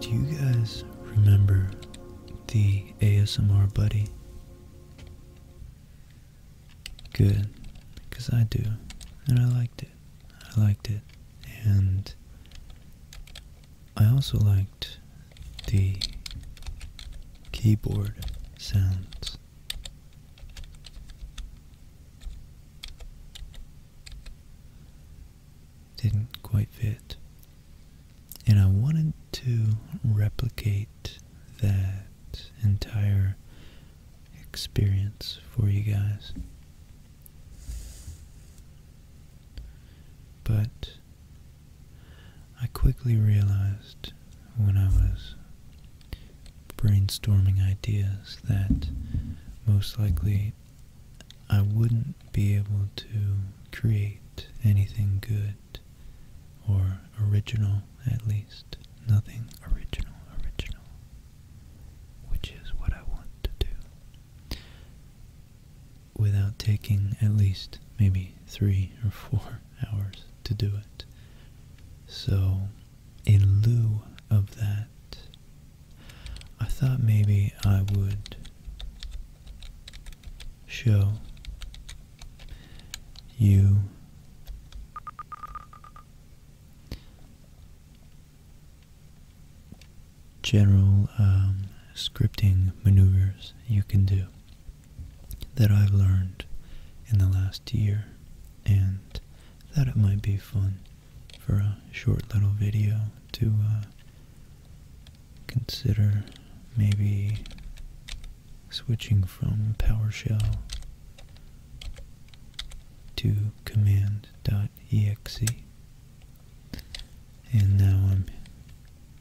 Do you guys remember the ASMR buddy? Good, because I do, and I liked it. I liked it, and I also liked the keyboard sounds didn't quite fit. And I wanted to replicate that entire experience for you guys. But I quickly realized when I was brainstorming ideas that most likely I wouldn't be able to create anything good or original at least. Nothing original, original. Which is what I want to do. Without taking at least maybe three or four hours to do it. So in lieu of that, I thought maybe I would show you general um, scripting maneuvers you can do that I've learned in the last year and thought it might be fun for a short little video to uh, consider maybe switching from PowerShell to command.exe. And now I'm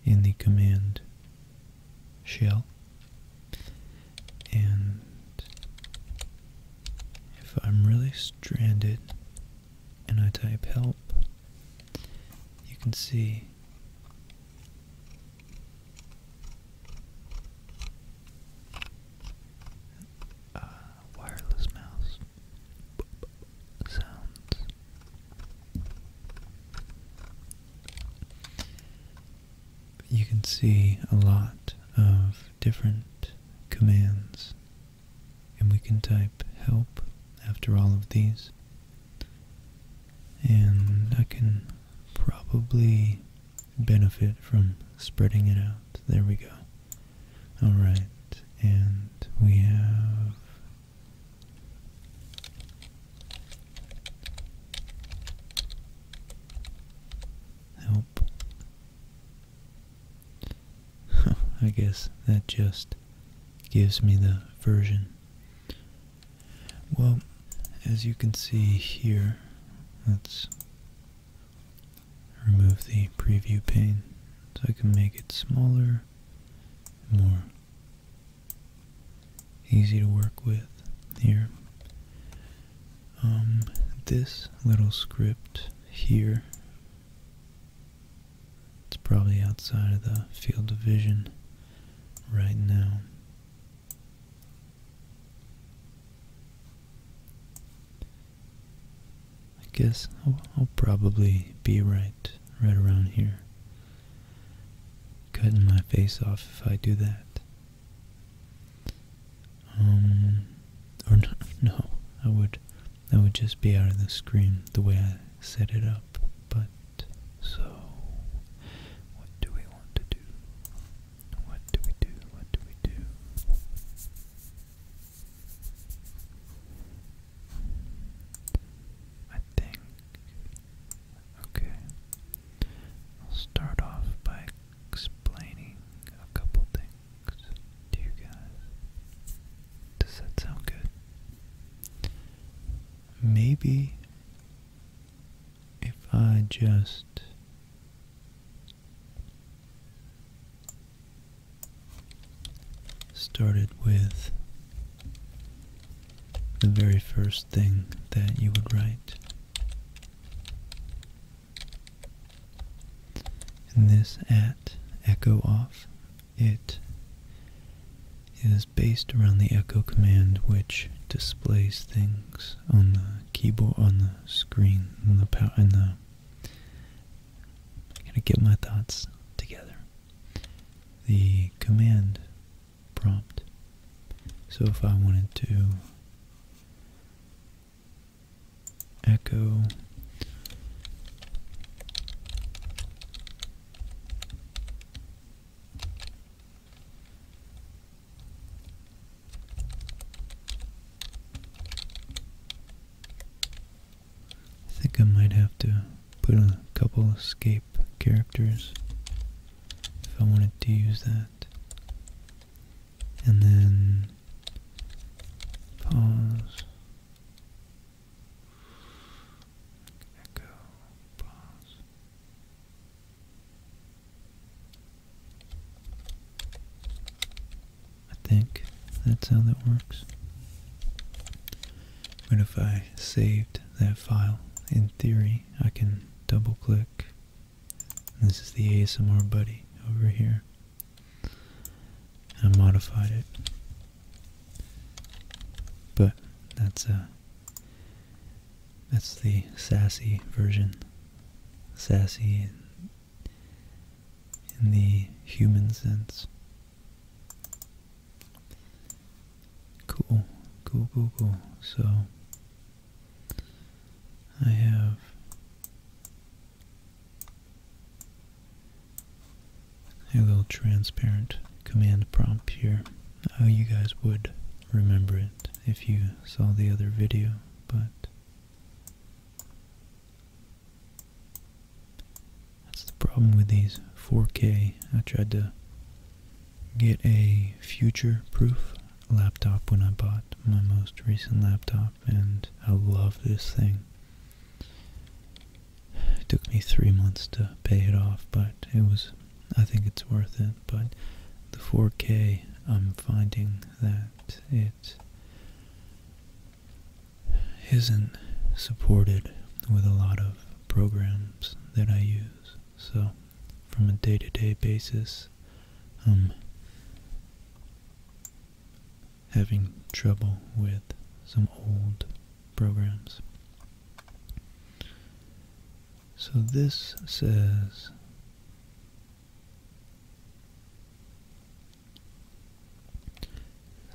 in the command shell and if I'm really stranded and I type help, you can see wireless mouse sounds you can see a lot of different commands. And we can type help after all of these. And I can probably benefit from spreading it out. There we go. Alright, and we have help. I guess that just gives me the version. Well, as you can see here, let's remove the preview pane so I can make it smaller, more easy to work with here um, this little script here it's probably outside of the field of vision right now I guess I'll, I'll probably be right right around here cutting my face off if I do that um, or no, I would, that would just be out of the screen the way I set it up. But so, what do we want to do? What do we do? What do we do? I think. Okay. I'll start off by explaining a couple things to you guys. Does that sound good? Maybe if I just started with the very first thing that you would write this at echo off, it is based around the echo command which displays things on the keyboard, on the screen, on the power, on the. I to get my thoughts together. The command prompt. So if I wanted to echo I think I might have to put a couple escape characters if I wanted to use that and then pause, echo, pause. I think that's how that works. But if I saved that file, in theory, I can double click this is the ASMR buddy over here. I modified it. But that's a uh, that's the sassy version. Sassy in, in the human sense. Cool, cool, cool, cool. So I have a little transparent command prompt here. Oh, you guys would remember it if you saw the other video, but that's the problem with these 4K. I tried to get a future-proof laptop when I bought my most recent laptop and I love this thing. It took me three months to pay it off, but it was, I think it's worth it. But the 4K, I'm finding that it isn't supported with a lot of programs that I use. So from a day-to-day basis, i um, having trouble with some old programs. So this says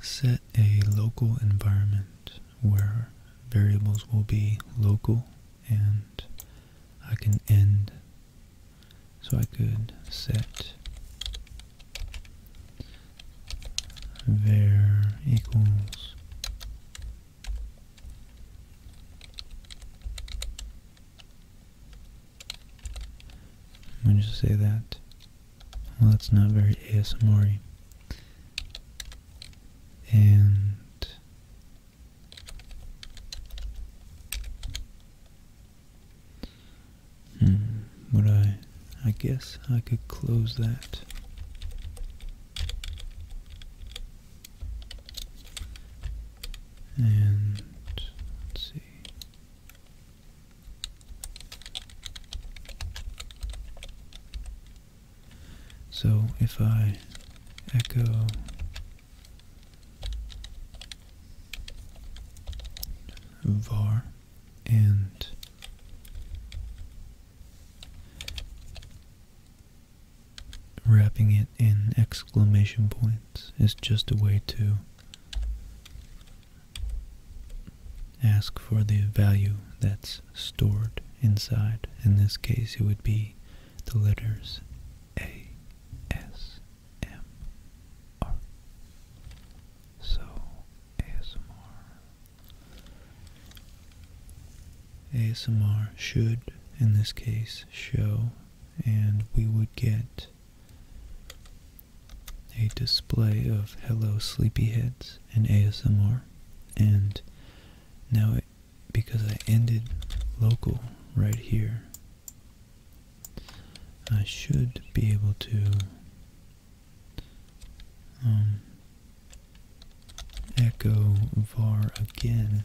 set a local environment where variables will be local and I can end so I could set var equals I'm just say that. Well, that's not very ASMR. -y. And Hmm, would I... I guess I could close that. And... let's see... So if I echo var and wrapping it in exclamation points is just a way to ask for the value that's stored inside. In this case, it would be the letters A, S, M, so ASMR. ASMR should, in this case, show, and we would get a display of Hello Sleepyheads and ASMR. And now, it, because I ended local right here, I should be able to um, echo var again.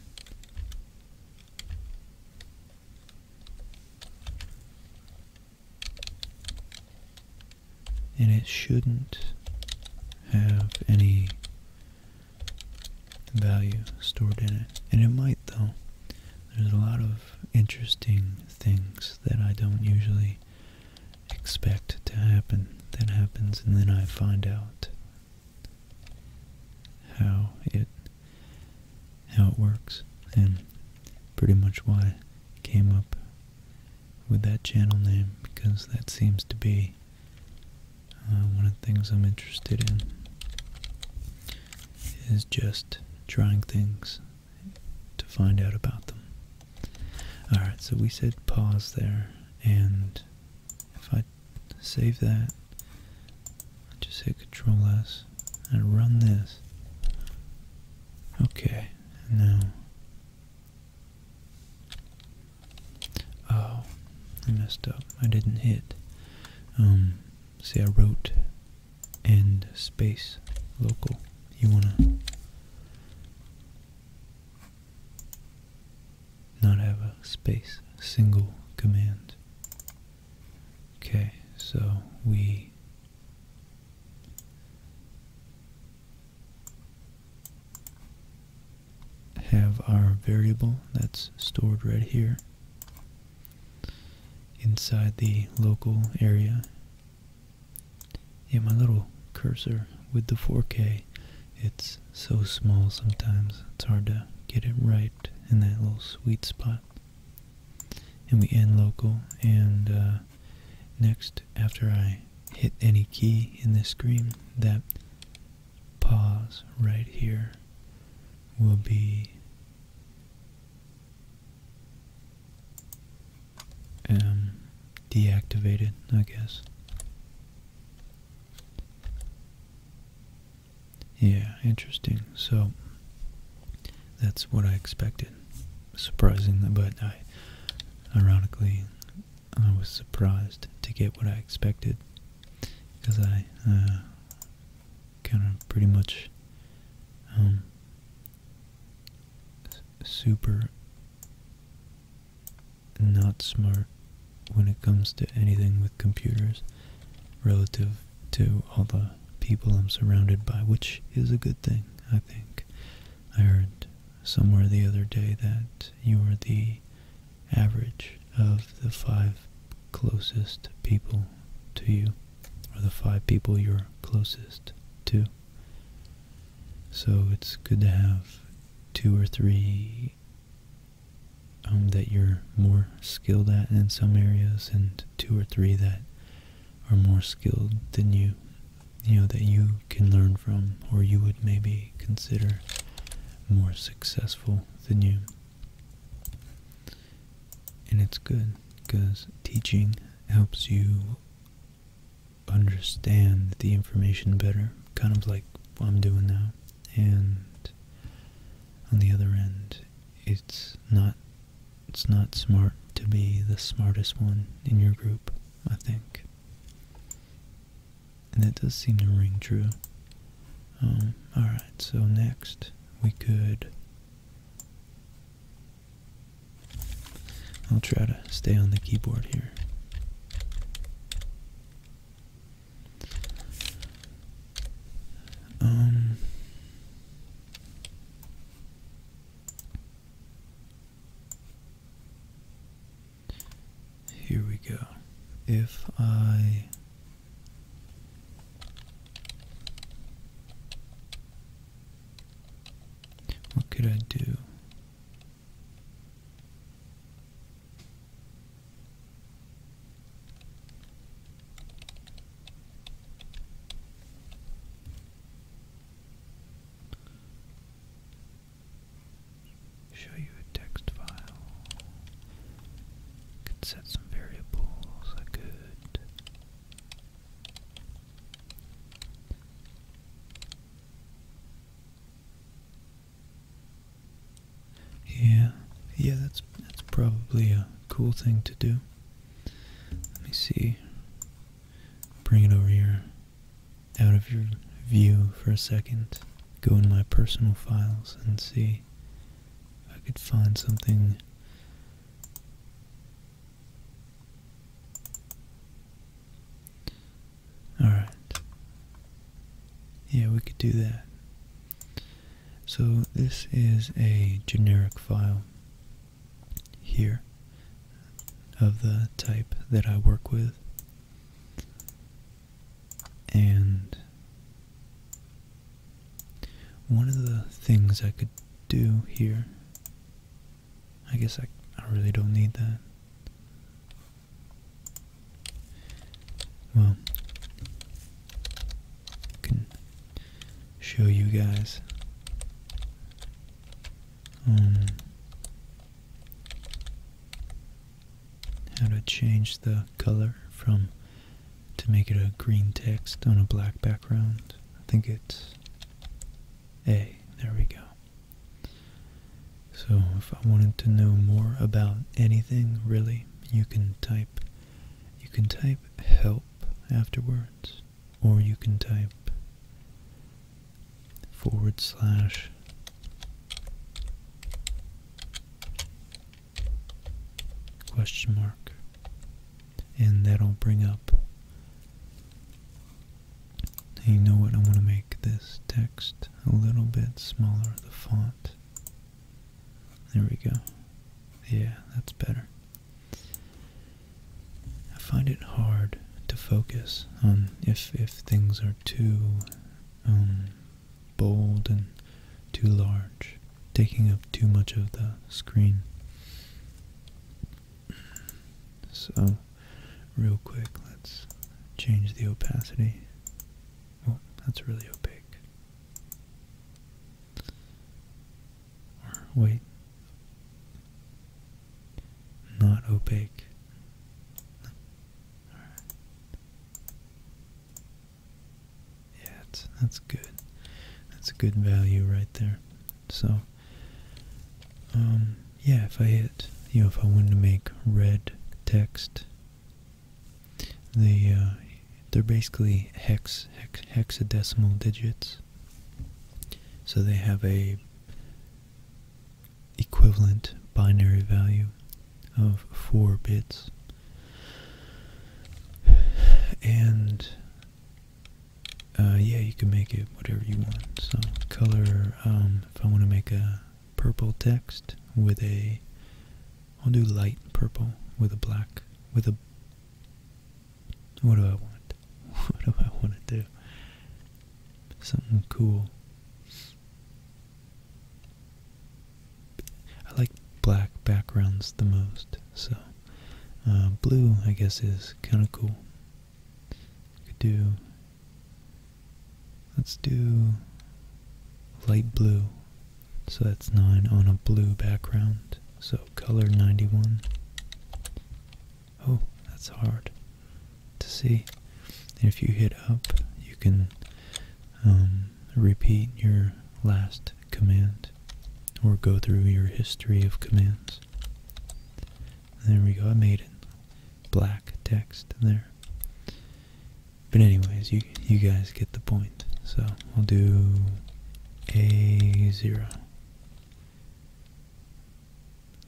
And it shouldn't have any value stored in it. And it might though. There's a lot of interesting things that I don't usually expect to happen that happens and then I find out how it how it works and pretty much why I came up with that channel name because that seems to be uh, one of the things I'm interested in is just trying things to find out about them. Alright, so we said pause there, and if I save that, just hit Control S and run this. Okay, now. Oh, I messed up. I didn't hit. Um, see, I wrote and space local. You want to not have a space single command. Okay, so we have our variable that's stored right here inside the local area. Yeah, my little cursor with the 4K, it's so small sometimes, it's hard to get it right in that little sweet spot. And we end local, and uh, next, after I hit any key in this screen, that pause right here will be um, deactivated, I guess. Yeah, interesting. So that's what I expected. Surprising, but I, ironically, I was surprised to get what I expected because I uh, kind of pretty much um, super not smart when it comes to anything with computers relative to all the people I'm surrounded by, which is a good thing, I think. I heard somewhere the other day that you are the average of the five closest people to you are the five people you're closest to. So it's good to have two or three um, that you're more skilled at in some areas and two or three that are more skilled than you, you know, that you can learn from or you would maybe consider more successful than you. And it's good because teaching helps you understand the information better, kind of like I'm doing now. And on the other end, it's not it's not smart to be the smartest one in your group, I think. And that does seem to ring true. Um, Alright, so next we could I'll try to stay on the keyboard here. Um here we go. If I what could I do? Show you a text file. Could set some variables. I could yeah, yeah, that's that's probably a cool thing to do. Let me see. Bring it over here, out of your view for a second. Go in my personal files and see if I could find something Alright. Yeah, we could do that. So this is a generic file here of the type that I work with. And one of the things I could do here, I guess I, I really don't need that. Well, can show you guys um, how to change the color from to make it a green text on a black background. I think it's A. There we go. So if I wanted to know more about anything, really, you can type you can type help afterwards, or you can type forward slash question mark and that'll bring up you know what I want to make this text a little bit smaller the font there we go yeah that's better I find it hard to focus on if if things are too um, bold and too large taking up too much of the screen so, real quick, let's change the opacity. Well, oh, that's really opaque. wait. Not opaque. Yeah, it's, that's good. That's a good value right there. So, um, yeah, if I hit, you know, if I wanted to make red text, they, uh, they're basically hex, hexadecimal digits. So they have a equivalent binary value of 4 bits. And uh, yeah, you can make it whatever you want. So color, um, if I want to make a purple text with a, I'll do light purple with a black, with a, what do I want? What do I want to do? Something cool. I like black backgrounds the most, so uh, blue, I guess, is kind of cool. do. Let's do light blue. So that's 9 on a blue background. So color 91. Oh, that's hard to see. if you hit up, you can um, repeat your last command or go through your history of commands. There we go, I made it. Black text there. But anyways, you you guys get the point. So I'll do a zero.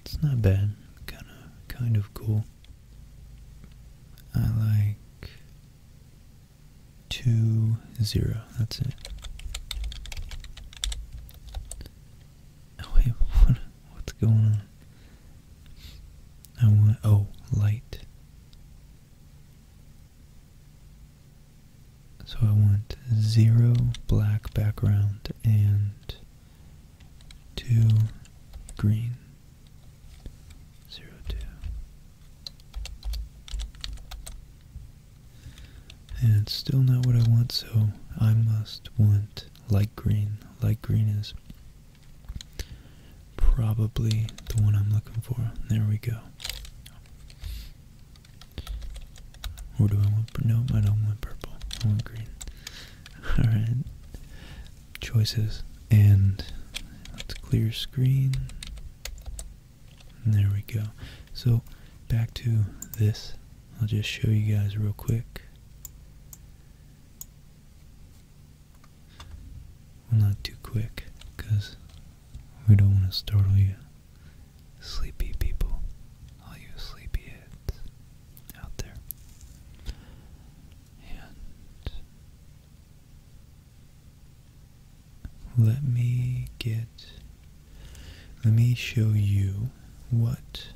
It's not bad. Kind of kind of cool. I like two zero. That's it. Oh, wait, what's going on? I want, oh, light. So I want zero black background and two green. Zero two. And it's still not what I want, so I must want light green. Light green is probably the one I'm looking for. There we go. What do I want, no, I don't want purple. I want green. Alright. Choices. And let's clear screen. There we go. So back to this. I'll just show you guys real quick. Well, not too quick, because we don't want to startle you. Sleepy people, all you sleepy heads out there. And let me get let me show you what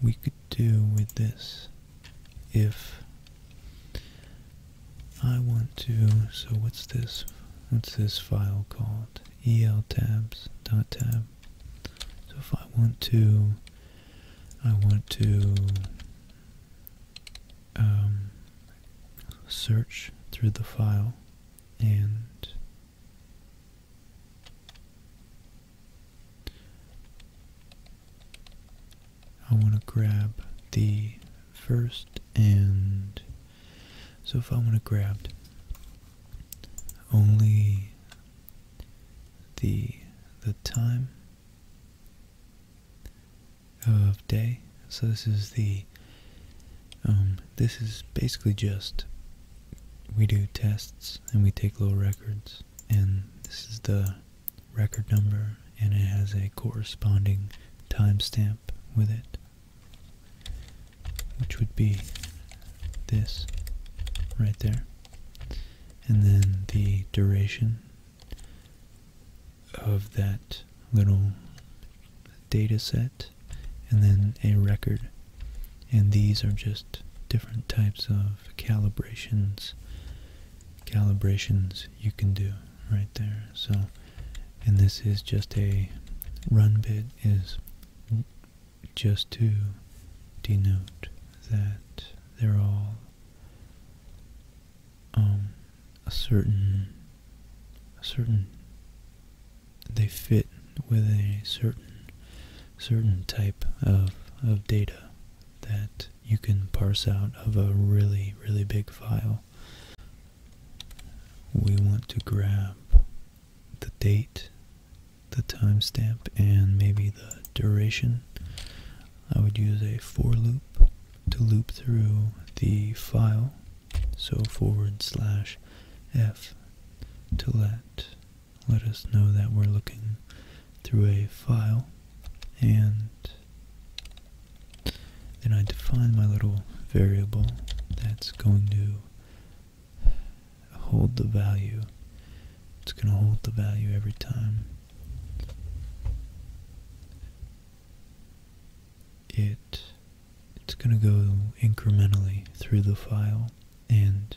we could do with this if I want to, so what's this, what's this file called? Eltabs dot tab. So if I want to, I want to um, search through the file and I want to grab the first and so if I want to grab only the the time of day so this is the um, this is basically just we do tests and we take little records, and this is the record number, and it has a corresponding timestamp with it, which would be this right there, and then the duration of that little data set and then a record and these are just different types of calibrations calibrations you can do right there so and this is just a run bit is just to denote that they're all um, a certain a certain they fit with a certain certain type of of data that you can parse out of a really really big file. We want to grab the date, the timestamp, and maybe the duration. I would use a for loop to loop through the file. So forward slash F to let let us know that we're looking through a file and then I define my little variable that's going to hold the value. It's going to hold the value every time. It it's going to go incrementally through the file and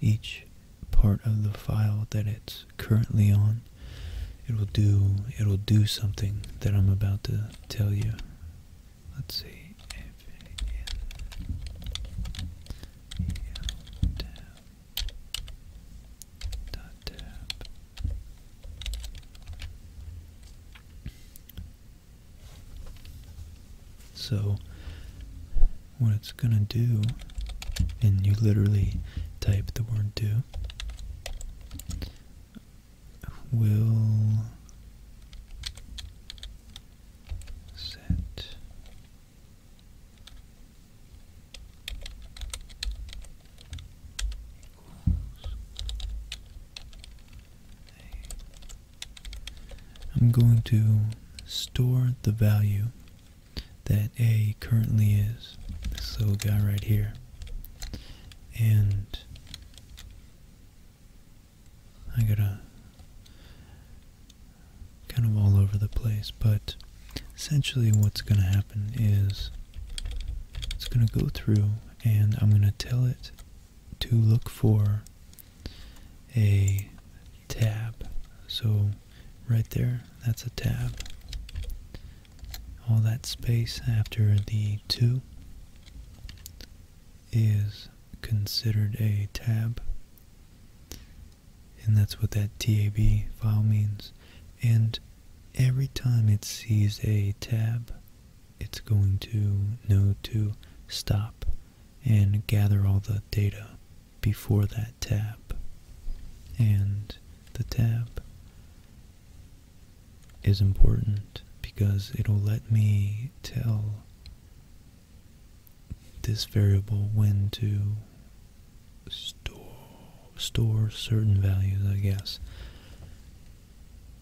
each part of the file that it's currently on it will do it'll do something that I'm about to tell you let's see so, what it's gonna do, and you literally type the word do, will set I'm going to store the value that A currently is, this little guy right here. And I gotta kind of all over the place, but essentially what's gonna happen is it's gonna go through and I'm gonna tell it to look for a tab. So right there, that's a tab. All that space after the 2 is considered a tab. And that's what that TAB file means. And every time it sees a tab, it's going to know to stop and gather all the data before that tab. And the tab is important because it'll let me tell this variable when to store, store certain values, I guess.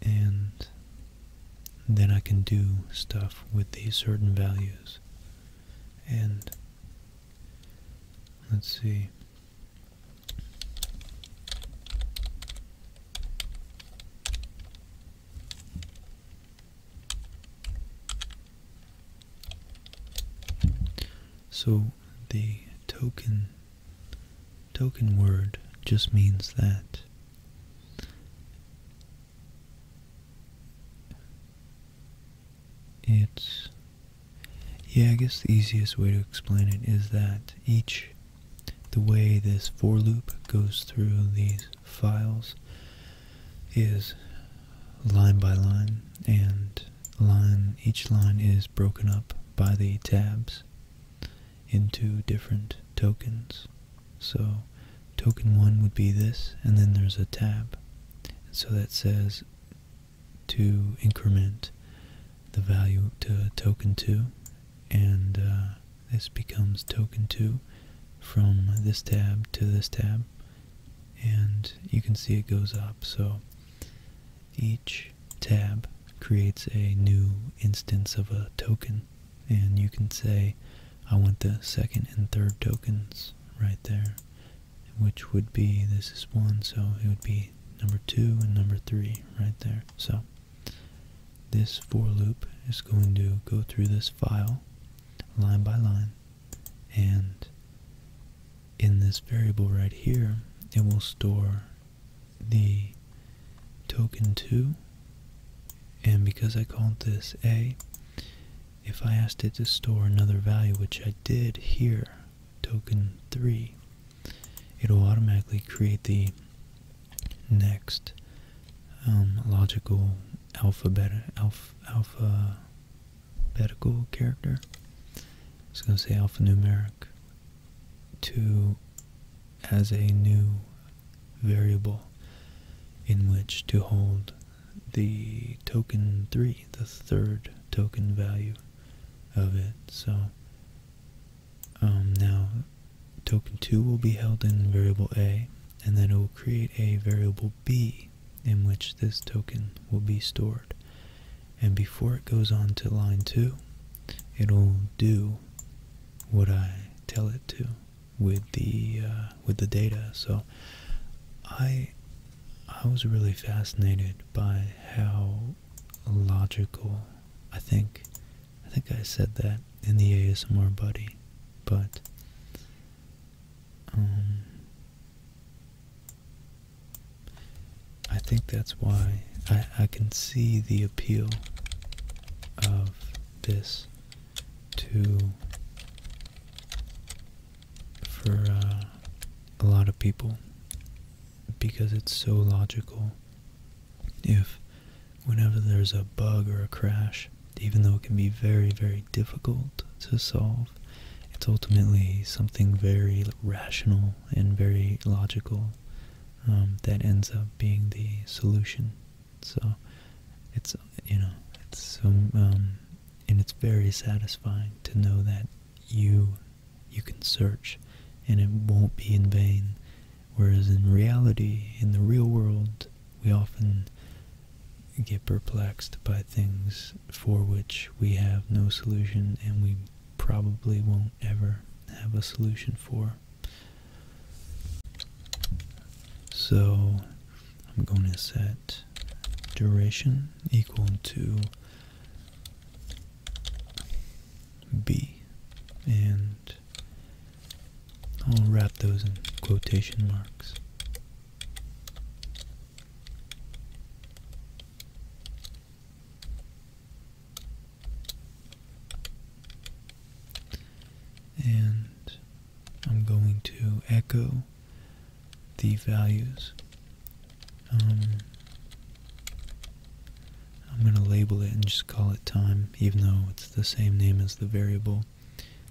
And then I can do stuff with these certain values. And let's see. So the token token word just means that it's, yeah, I guess the easiest way to explain it is that each, the way this for loop goes through these files is line by line, and line each line is broken up by the tabs into different tokens. So token 1 would be this, and then there's a tab. So that says to increment the value to token 2, and uh, this becomes token 2 from this tab to this tab, and you can see it goes up. So each tab creates a new instance of a token and you can say I want the second and third tokens right there which would be this is one so it would be number two and number three right there so this for loop is going to go through this file line by line and in this variable right here it will store the token 2 and because I called this A, if I asked it to store another value, which I did here, token 3, it'll automatically create the next um, logical alphabet, alph, alphabetical character. It's going to say alphanumeric to as a new variable in which to hold the token 3, the third token value of it. So um, now token 2 will be held in variable A and then it will create a variable B in which this token will be stored. And before it goes on to line 2, it'll do what I tell it to with the uh, with the data. So I I was really fascinated by how logical I think I think I said that in the ASMR buddy, but um, I think that's why I, I can see the appeal of this to for uh, a lot of people because it's so logical if whenever there's a bug or a crash even though it can be very very difficult to solve it's ultimately something very rational and very logical um, that ends up being the solution so it's you know it's so um, and it's very satisfying to know that you you can search and it won't be in vain. Whereas in reality, in the real world, we often get perplexed by things for which we have no solution and we probably won't ever have a solution for. So I'm going to set duration equal to B and I'll wrap those in quotation marks. And I'm going to echo the values. Um, I'm going to label it and just call it time, even though it's the same name as the variable.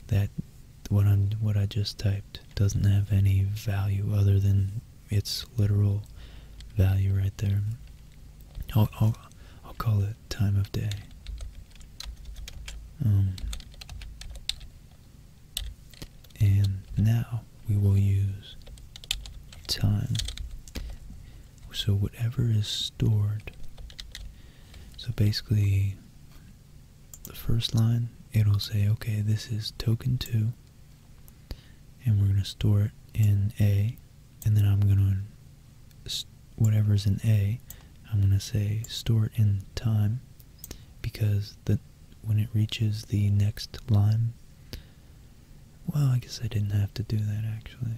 That what I'm what I just typed doesn't have any value other than its literal value right there. I'll, I'll call it time of day. Um, and now we will use time. So whatever is stored. So basically, the first line, it'll say, okay, this is token 2. And we're going to store it in A. And then I'm going to whatever's in A, I'm going to say store it in time because the, when it reaches the next line, well, I guess I didn't have to do that actually.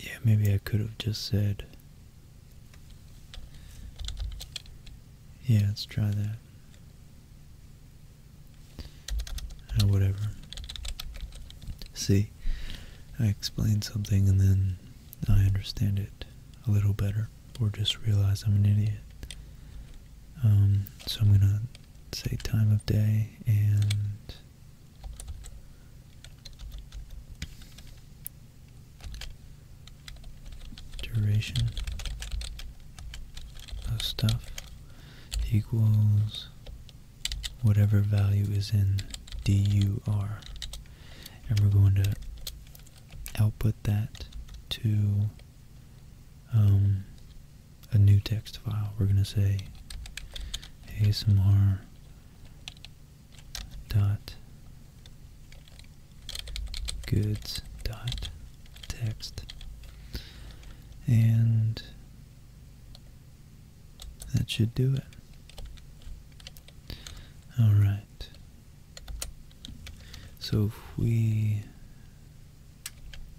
Yeah, maybe I could have just said, yeah, let's try that. Uh, whatever. See, I explain something and then I understand it a little better, or just realize I'm an idiot. Um, so I'm gonna say time of day and duration of stuff equals whatever value is in DUR. And we're going to output that to um, a new text file. We're going to say ASMR dot goods dot text and that should do it. Alright. So we...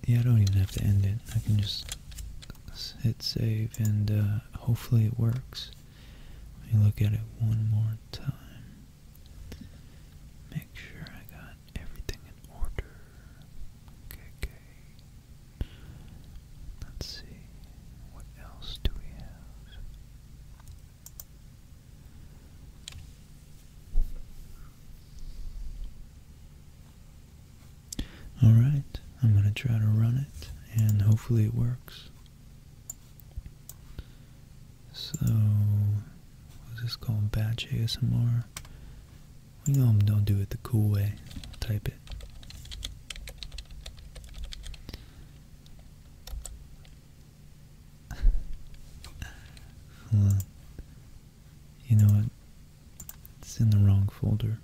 Yeah, I don't even have to end it. I can just hit save and uh, hopefully it works. Let me look at it one more time. Make sure I got everything in order. okay. Let's see, what else do we have? Alright, I'm going to try to run it and hopefully it works. So, what's this called? Batch ASMR? We know I'm don't do it the cool way. type it. You know what? It's in the wrong folder.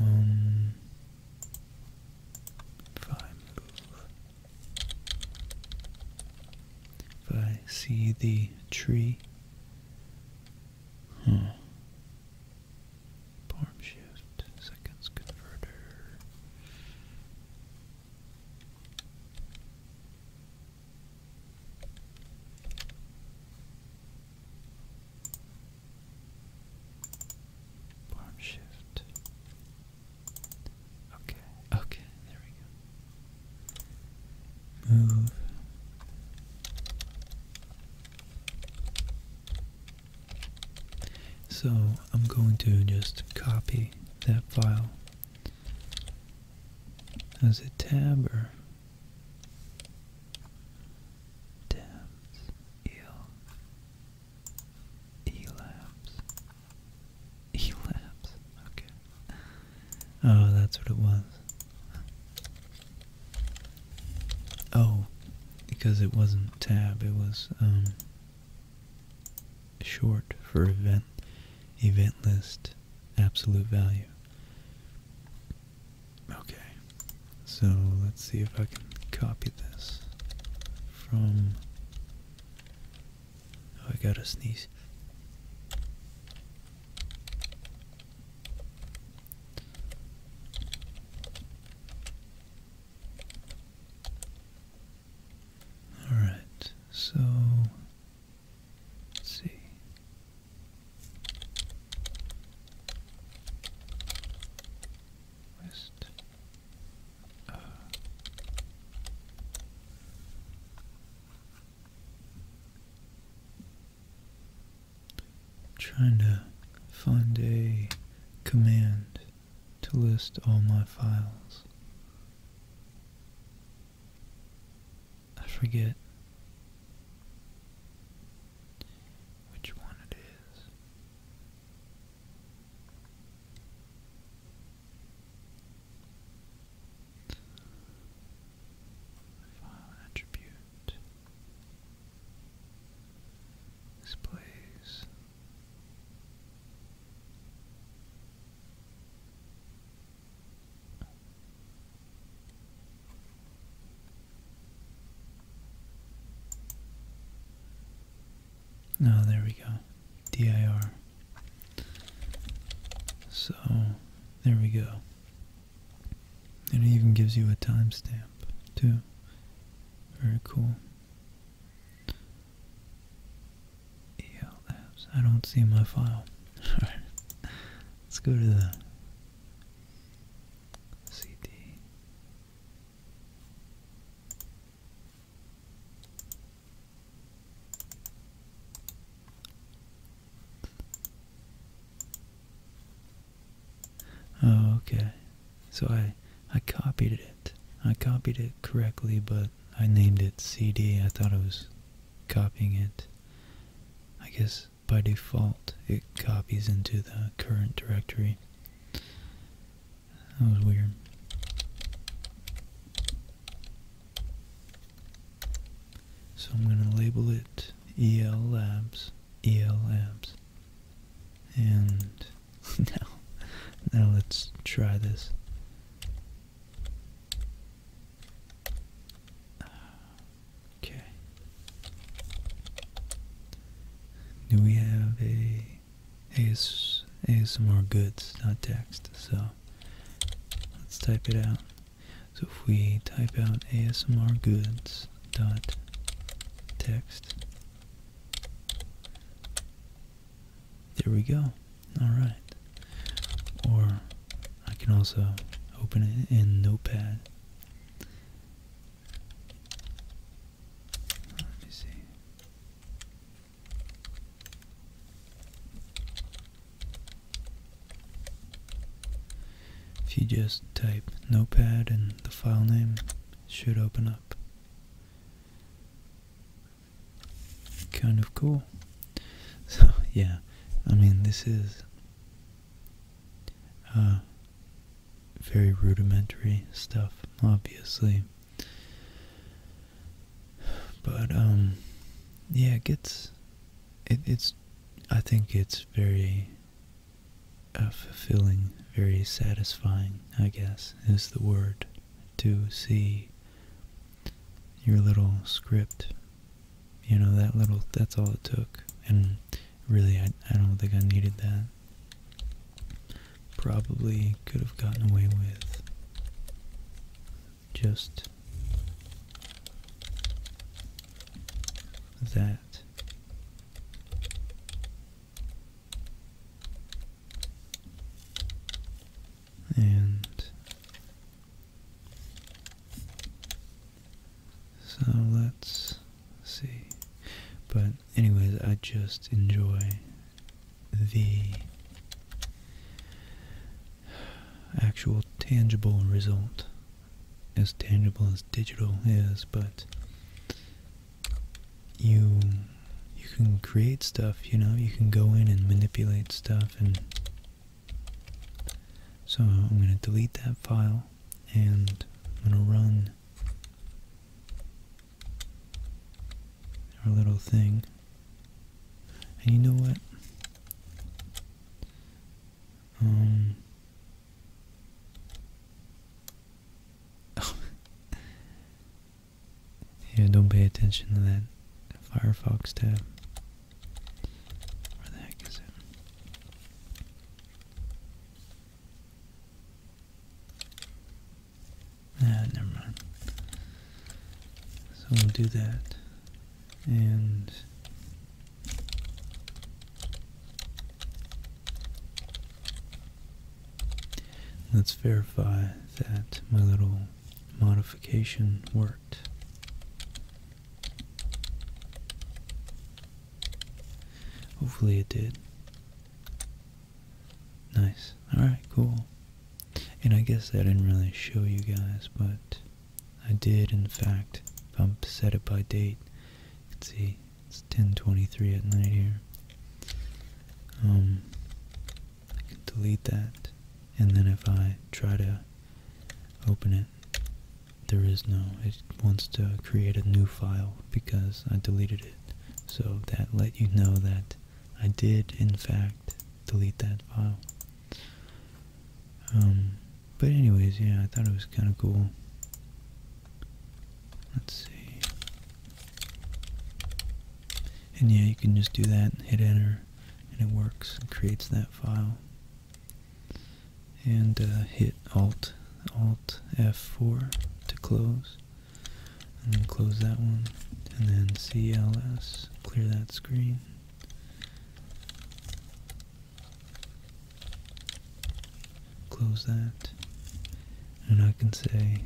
Um if I if I see the tree huh. Form shift, seconds converter. shift. Okay, okay, there we go. Move. So I'm going to just copy that file as a tabber. tabs el elapse elapse okay oh that's what it was Oh, because it wasn't tab, it was um, short for event, event list, absolute value. Okay, so let's see if I can copy this from, oh, I gotta sneeze. All right, so let's see. West. Uh, trying to find a command to list all my files. I forget which one it is. File attribute this place. Oh, there we go. DIR. So, there we go. And it even gives you a timestamp, too. Very cool. ELFs. I don't see my file. Alright. Let's go to the CD. Oh, okay. So I, I copied it. I copied it correctly, but I named it CD. I thought I was copying it. I guess by default it copies into the current directory. That was weird. So I'm going to label it EL Labs, EL Labs. And now, now let's try this. Okay. Do we have a AS, ASMR goods, not text? So let's type it out. So if we type out ASMR goods dot text there we go. Alright. Or I can also open it in Notepad. Let me see. If you just type Notepad and the file name, it should open up kind of cool. So yeah, I mean this is uh, very rudimentary stuff, obviously. But um, yeah, it gets it, it's. I think it's very uh, fulfilling, very satisfying, I guess, is the word, to see your little script. You know, that little, that's all it took. And really, I, I don't think I needed that. Probably could have gotten away with just that. And so let's see. But, anyways, I just enjoy the actual tangible result as tangible as digital is, but you you can create stuff, you know, you can go in and manipulate stuff and so I'm going to delete that file and I'm going to run our little thing. And you know what? Um, yeah, don't pay attention to that Firefox tab. Where the heck is it? Ah, never mind. So we'll do that. And Let's verify that my little modification worked. Hopefully it did. Nice. Alright, cool. And I guess I didn't really show you guys, but I did in fact, if I'm set it by date, you can see it's 10:23 at night here. Um, I can delete that, and then if I try to open it, there is no. It wants to create a new file because I deleted it. So that let you know that I did, in fact, delete that file. Um, but anyways, yeah, I thought it was kind of cool. Let's see. And yeah, you can just do that and hit enter, and it works. It creates that file. And uh, hit Alt, Alt F4 to close. And then close that one. And then CLS, clear that screen. Close that. And I can say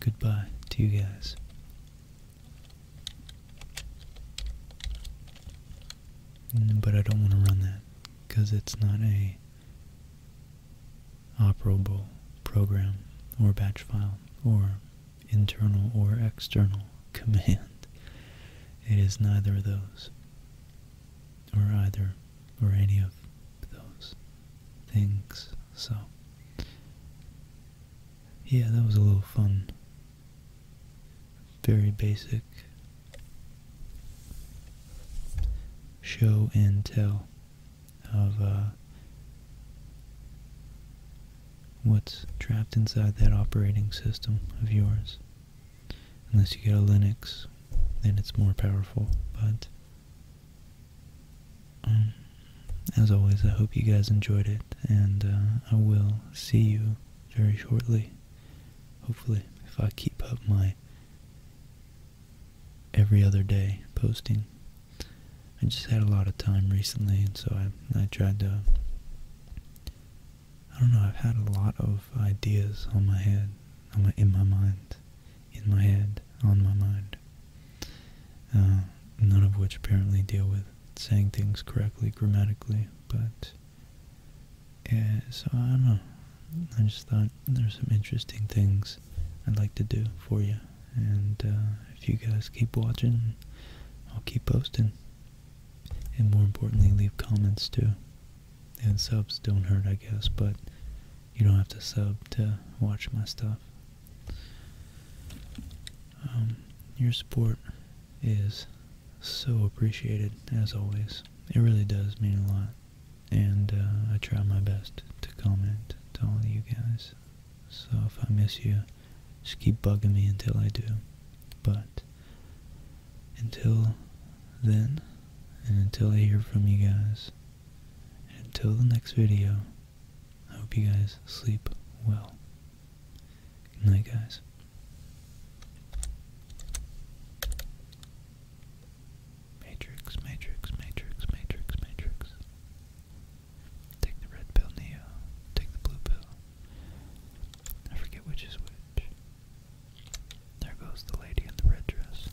Goodbye to you guys. Mm, but I don't want to run that because it's not a operable program or batch file or internal or external command. It is neither of those or either or any of those things. So, yeah, that was a little fun. Very basic show and tell of uh, what's trapped inside that operating system of yours. Unless you get a Linux, then it's more powerful. But um, as always, I hope you guys enjoyed it, and uh, I will see you very shortly. Hopefully, if I keep up my every other day posting. I just had a lot of time recently, and so I, I tried to I don't know, I've had a lot of ideas on my head, on my, in my mind, in my head, on my mind. Uh, none of which apparently deal with saying things correctly grammatically, but yeah, so I don't know. I just thought there's some interesting things I'd like to do for you, and uh, if you guys keep watching, I'll keep posting, and more importantly, leave comments too. And subs don't hurt, I guess, but you don't have to sub to watch my stuff. Um, your support is so appreciated, as always. It really does mean a lot. And uh, I try my best to comment to all of you guys. So if I miss you, just keep bugging me until I do. But until then, and until I hear from you guys, and until the next video, I hope you guys sleep well. night, guys. Matrix, Matrix, Matrix, Matrix, Matrix. Take the red pill, Neo. Take the blue pill. I forget which is which. There goes the lady in the red dress.